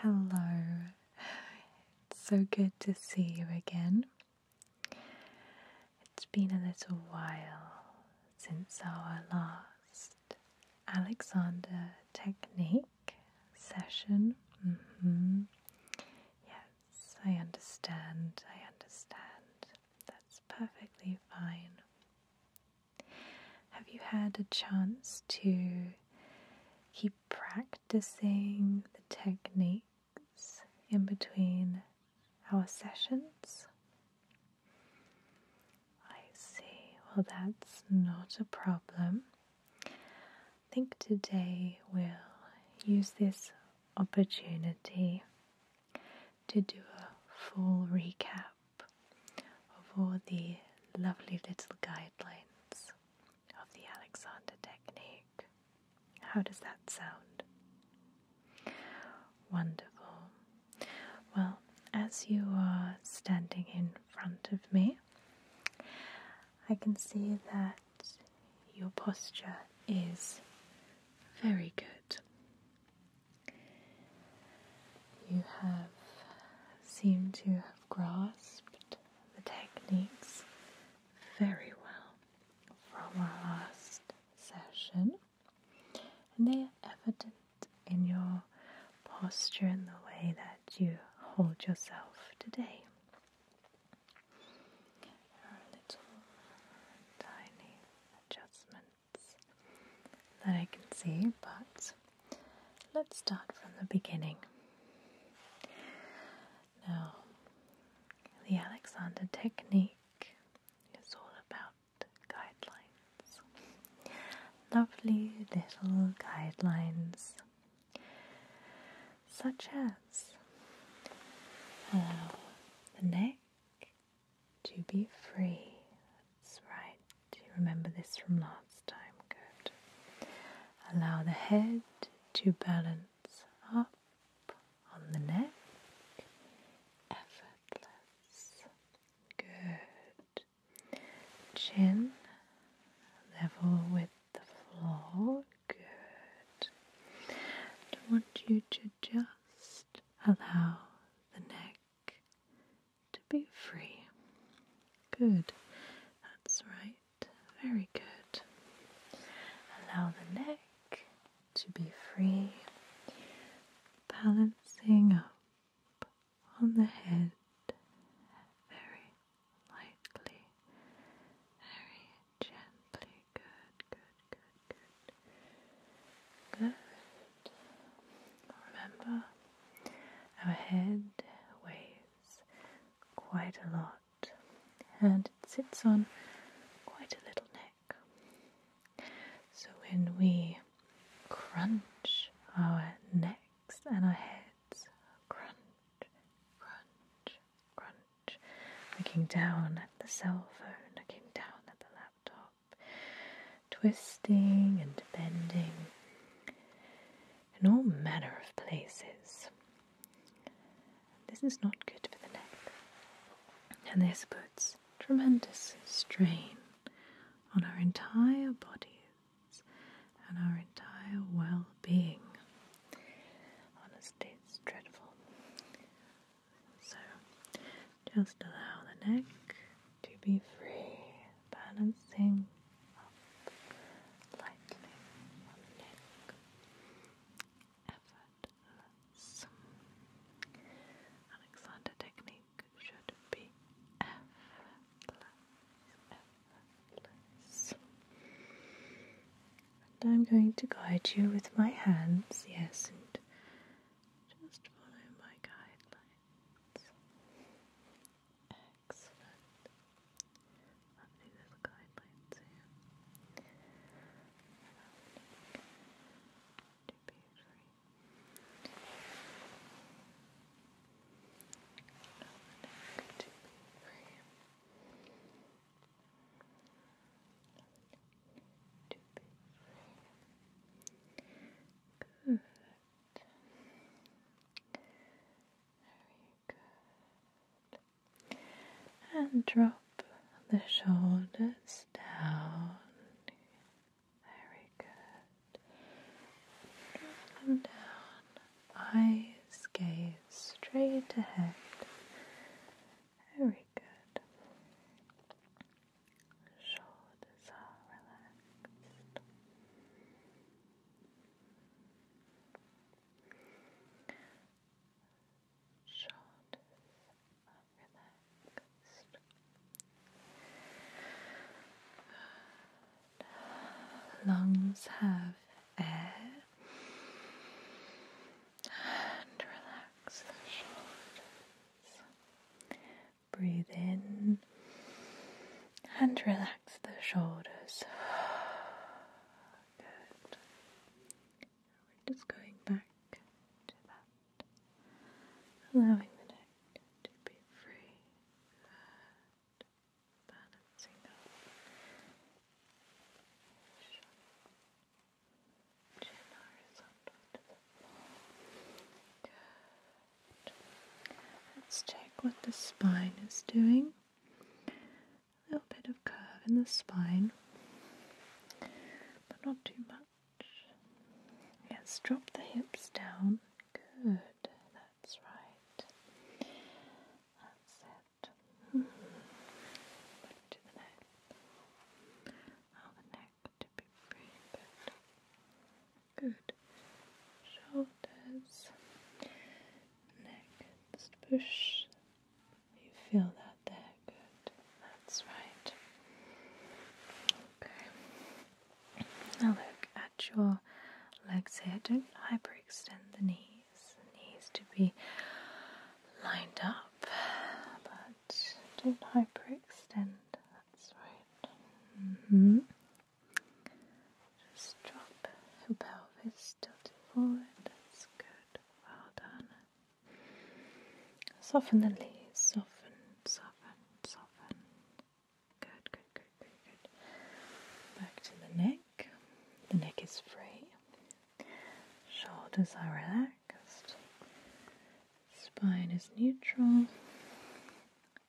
Hello, it's so good to see you again. It's been a little while since our last Alexander Technique session. Mm-hmm. Yes, I understand, I understand. That's perfectly fine. Have you had a chance to keep practicing the techniques in between our sessions. I see. Well, that's not a problem. I think today we'll use this opportunity to do a full recap of all the lovely little guidelines of the Alexander technique. How does that sound? Wonderful. Well, as you are standing in front of me, I can see that your posture is very good you have seemed to have grasped the techniques very well from our last session, and they are evident in your posture and the way that you hold yourself today. There little tiny adjustments that I can see, but Let's start from the beginning. Now, the Alexander technique is all about guidelines. Lovely little guidelines, such as allow uh, the neck to be free that's right. Do you remember this from last time? Good. Allow the head to balance up on the neck. Effortless. Good. Chin level with the floor. Good. I want you to just allow the neck to be free. Good, that's right, very good. Allow the neck to be free, balancing up on the head very lightly, very gently. Good, good, good, good. Good. Remember, our head weighs quite a lot and it sits on quite a little neck. So when we crunch our necks and our heads, crunch, crunch, crunch, looking down at the cell phone, looking down at the laptop twisting and bending in all manner of places. This is not good for the neck, and this puts tremendous strain on our entire bodies and our entire well being. Honestly, it's dreadful. So, just allow the neck to be free, balancing effortless. Alexander technique should be effortless, And I'm going to guide you with my hands, yes, and just follow my guidelines. Excellent. I'll do this guideline soon. To page three. To three. To be free. Very good. And drop the shoulders down. Very good. Drop them down. Eyes gaze straight ahead. Very good. Shoulders are relaxed. Shoulders are relaxed. Lungs have air and relax the shoulders. Breathe in and relax the shoulders. Good. We're just going back to that, allowing the neck to be free. Good. Balancing up. Let's check what the spine is doing. A little bit of curve in the spine, but not too much. Let's drop the hips down. Good, that's right. That's it. Hmm. to the neck. Oh, the neck Good. Shoulders, neck, just push. You feel that there, good. That's right. Okay. Now look at your legs here. Don't hyperextend the knees. The knees to be lined up, but don't hyperextend extend. That's right. Mm-hmm. Just drop your pelvis, tilt forward. That's good. Well done. Soften the knees. Soften, soften, soften. Good, good, good, good, good. Back to the neck. The neck is free. Shoulders are relaxed spine is neutral,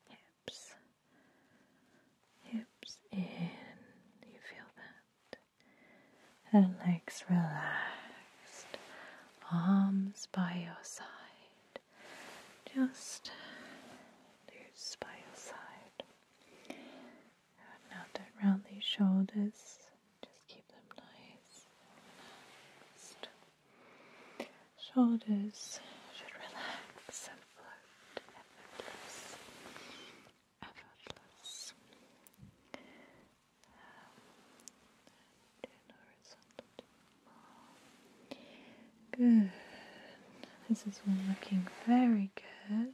hips, hips in. you feel that? And legs relaxed, arms by your side, just loose by your side. Now turn round these shoulders. Just keep them nice and relaxed. Shoulders should relax and float effortless. Effortless. Um, and horizontal. Good. This is all looking very good.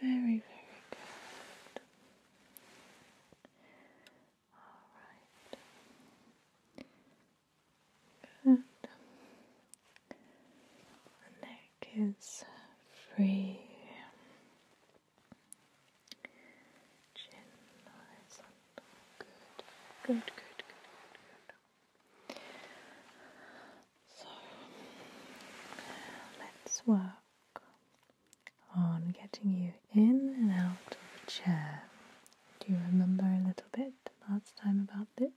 Very, very good. All right. Good. neck is free. Chin horizontal. Good. Good. Good. Good. Good. Good. So let's work on getting you in and out of a chair. Do you remember a little bit last time about this?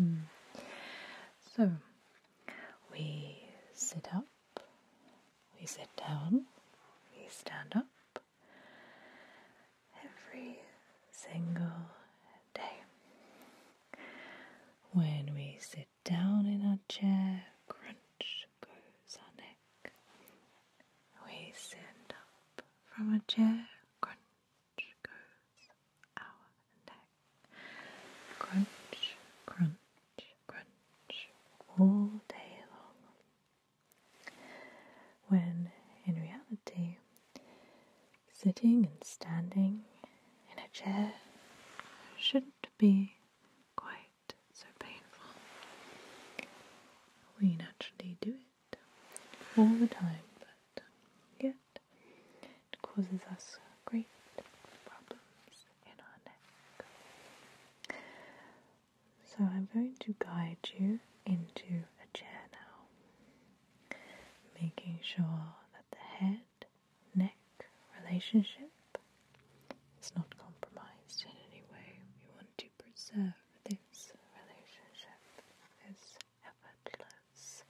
Mm-hmm. So, we sit up, we sit down, we stand up every single day. When we sit down in our chair, crunch goes our neck. We stand up from our chair, crunch goes our neck. Crunch, crunch, crunch, all day long. When in reality, sitting and standing in a chair shouldn't be quite so painful. We naturally do it all the time, but yet it causes us great problems in our neck. So I'm going to guide you into a chair now, making sure that the head neck relationship is not compromised in any way. We want to preserve this relationship, this effortless,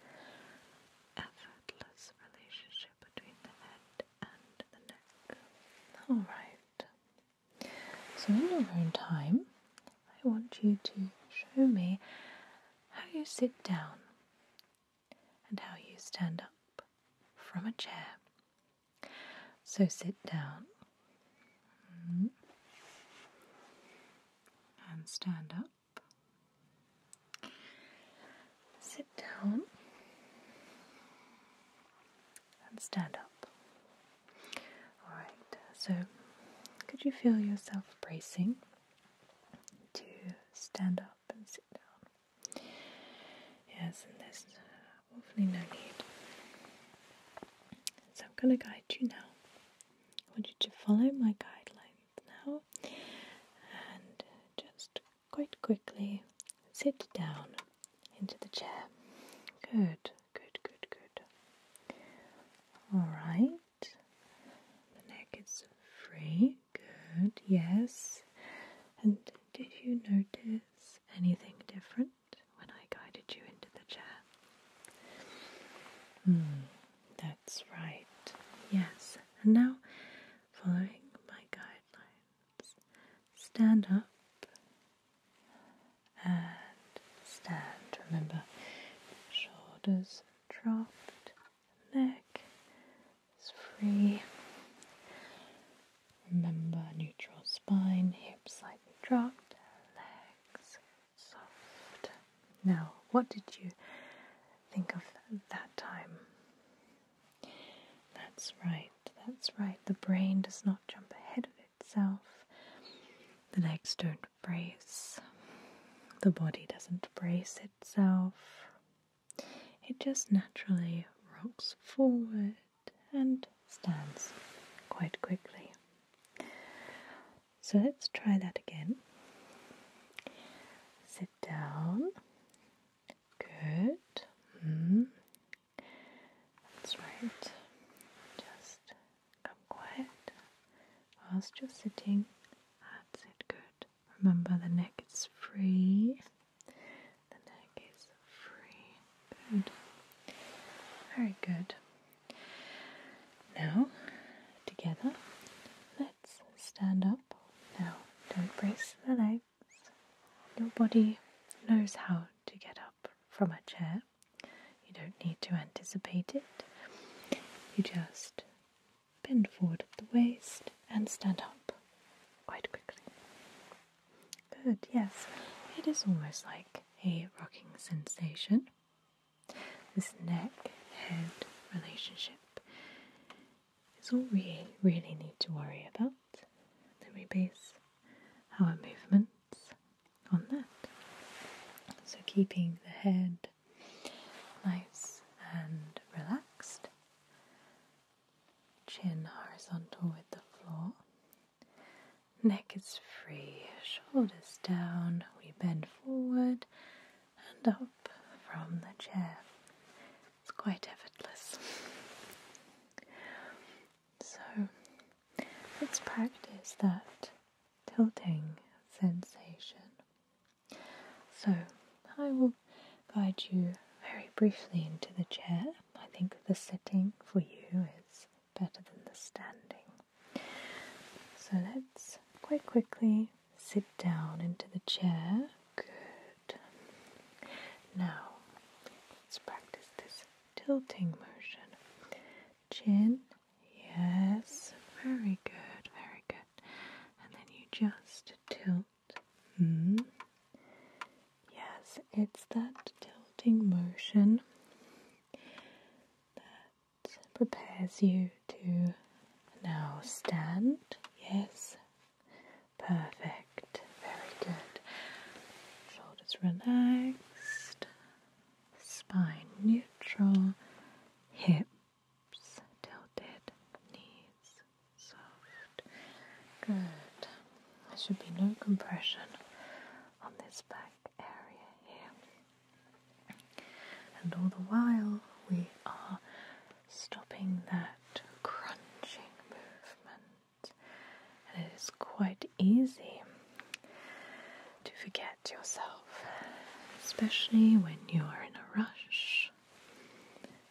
effortless relationship between the head and the neck. Alright, so in your own time, I want you to show me how you sit down and how you stand up from a chair. So sit down mm-hmm. and stand up. Sit down and stand up. Alright, so could you feel yourself bracing to stand up and sit down? Yes, and there's uh, hopefully no need. So I'm going to guide you now. I want you to follow my guidelines now and just quite quickly sit down into the chair. Good, good, good, good. All right. The neck is free. Good, yes. And did you notice anything different when I guided you into the chair? Hmm. that's right. Yes. And now, following my guidelines, stand up and stand. Remember, shoulders dropped, neck is free. Remember neutral spine, hips slightly dropped, legs soft. Now, what did you think of that time? That's right, that's right. The brain does not jump ahead of itself. The legs don't brace. The body doesn't brace, it itself. It just naturally rocks forward and stands quite quickly. So let's try that again. Sit down. Good. Mm. That's right. Just come quiet whilst you're sitting. That's it. Good. Remember, the neck is free. The neck is free. Very good. Now, together, let's stand up. Now, don't brace the legs. Your body knows how to get up from a chair. You don't need to anticipate it. You just bend forward at the waist, and stand up quite quickly. Good, yes, it is almost like a rocking sensation. This neck head relationship is all we really need to worry about. Then we base our movements on that. So, keeping the head nice and relaxed. Chin horizontal with the floor. Neck is free, shoulders down. We bend forward and up from the chair. It's quite effortless. So let's practice that tilting sensation so I will guide you very briefly into the chair. I think the sitting for you is better than the standing. So let's quite quickly sit down into the chair. Good. Now let's practice this tilting motion chin. Yes, very good, very good. And then you just tilt. Hmm. Yes, it's that tilting motion that prepares you to now stand. Yes, perfect, very good. Shoulders relaxed, spine neutral, hip tilted, knees soft. Good. There should be no compression on this back area here. And all the while, we are stopping that crunching movement. And it is quite easy to forget yourself, especially when you are in a rush,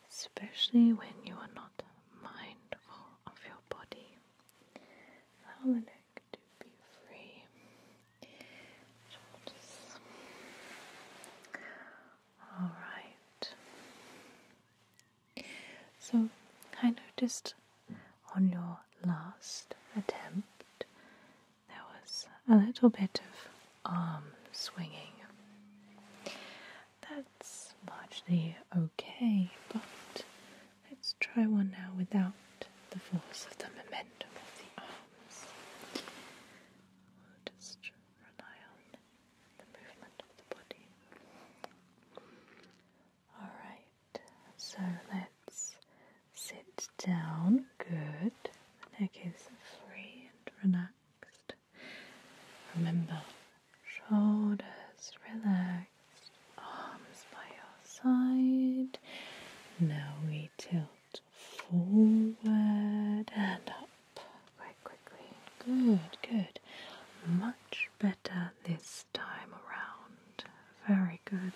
especially when you are not mindful of your body. Allow the neck to be free. Alright. So I noticed on your last attempt there was a little bit of arm swinging. That's largely okay, but let's try one now without the force of the momentum of the arms. just rely on the movement of the body. Alright, so let's sit down. Good. neck is free and relaxed. Remember, shoulders relaxed, arms by your side. Now we tilt forward and up quite quickly. Good, good. Much better this time around. Very good.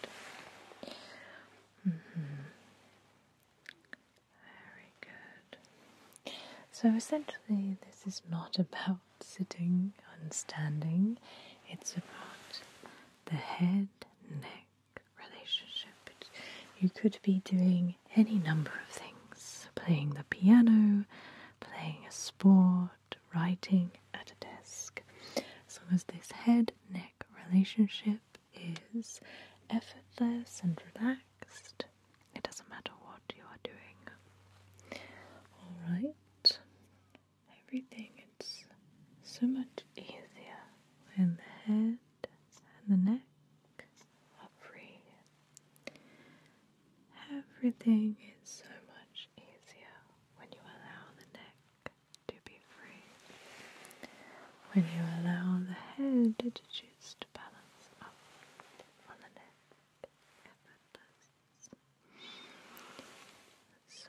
Mm-hmm. Very good. So essentially, this is not about sitting and standing, it's about the head neck relationship. You could be doing any number of things playing the piano, playing a sport, writing at a desk. So long as this head neck relationship is effortless and relaxed. It doesn't matter what you are doing. Alright, everything is so much easier when the head and the neck are free. Everything is so much easier when you allow the neck to be free when you allow the head to choose to balance up on the neck effortless. So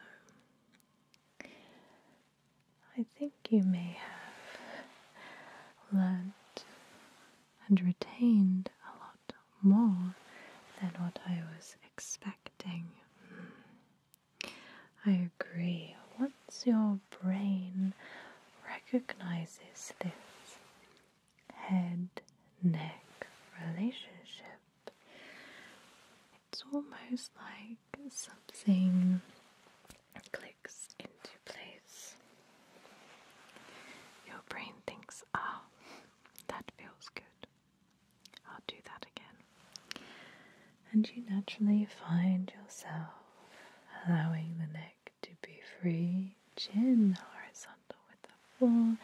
I think you may have learned and retained a lot more than what I was expecting. I agree. Once your brain recognizes this head neck relationship, it's almost like something clicks into place. Your brain thinks, ah, that feels good. I'll do that again. And you naturally find yourself allowing the neck to be free, chin horizontal with the floor,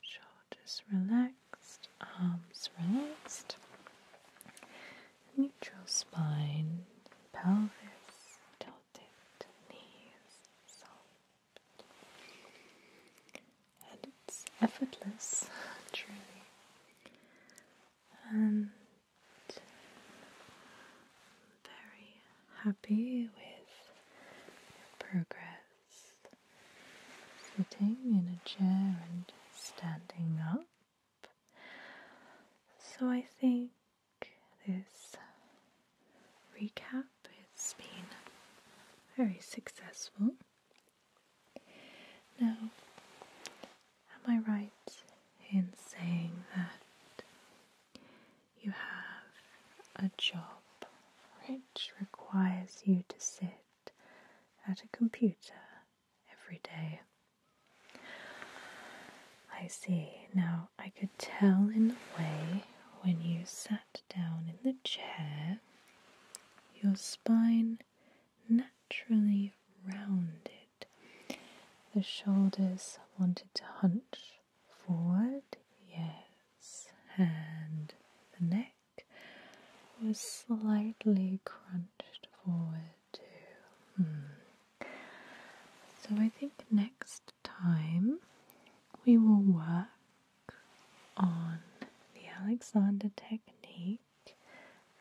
shoulders relaxed, arms relaxed, neutral spine, pelvis tilted, knees soft and it's effortless, truly. And very happy with progress. Sitting in a chair and standing up. So I think this recap has been very successful. Now, am I right in saying that you have a job which requires you to sit at a computer every day? I see. Now, I could tell in the way when you sat down in the chair, your spine naturally rounded. The shoulders wanted to hunch forward, yes, and the neck was slightly crunched forward too. Hmm. So I think next time we will work on the Alexander technique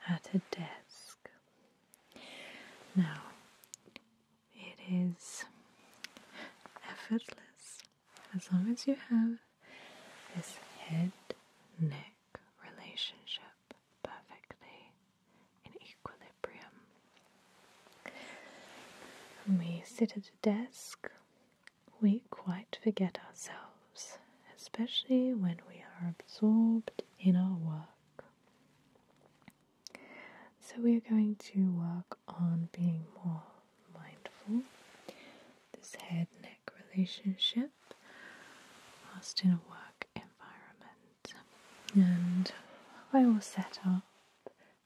at a desk. Now, it is effortless as long as you have this head neck relationship perfectly in equilibrium. We sit at a desk we quite forget ourselves, especially when we are absorbed in our work. So, we are going to work on being more mindful. This head neck relationship whilst in a work environment. And I will set up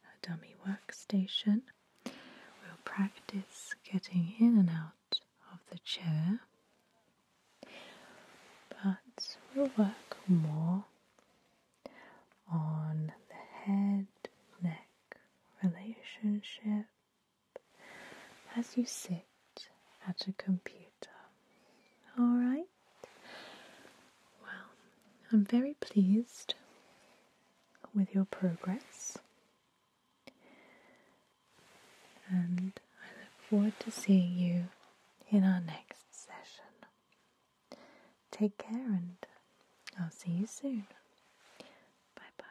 a dummy workstation. We'll practice getting in and out of the chair, but we'll work more on the head neck relationship as you sit at a computer. Alright? Well, I'm very pleased with your progress. And I look forward to seeing you in our next session. Take care, and I'll see you soon. Bye bye.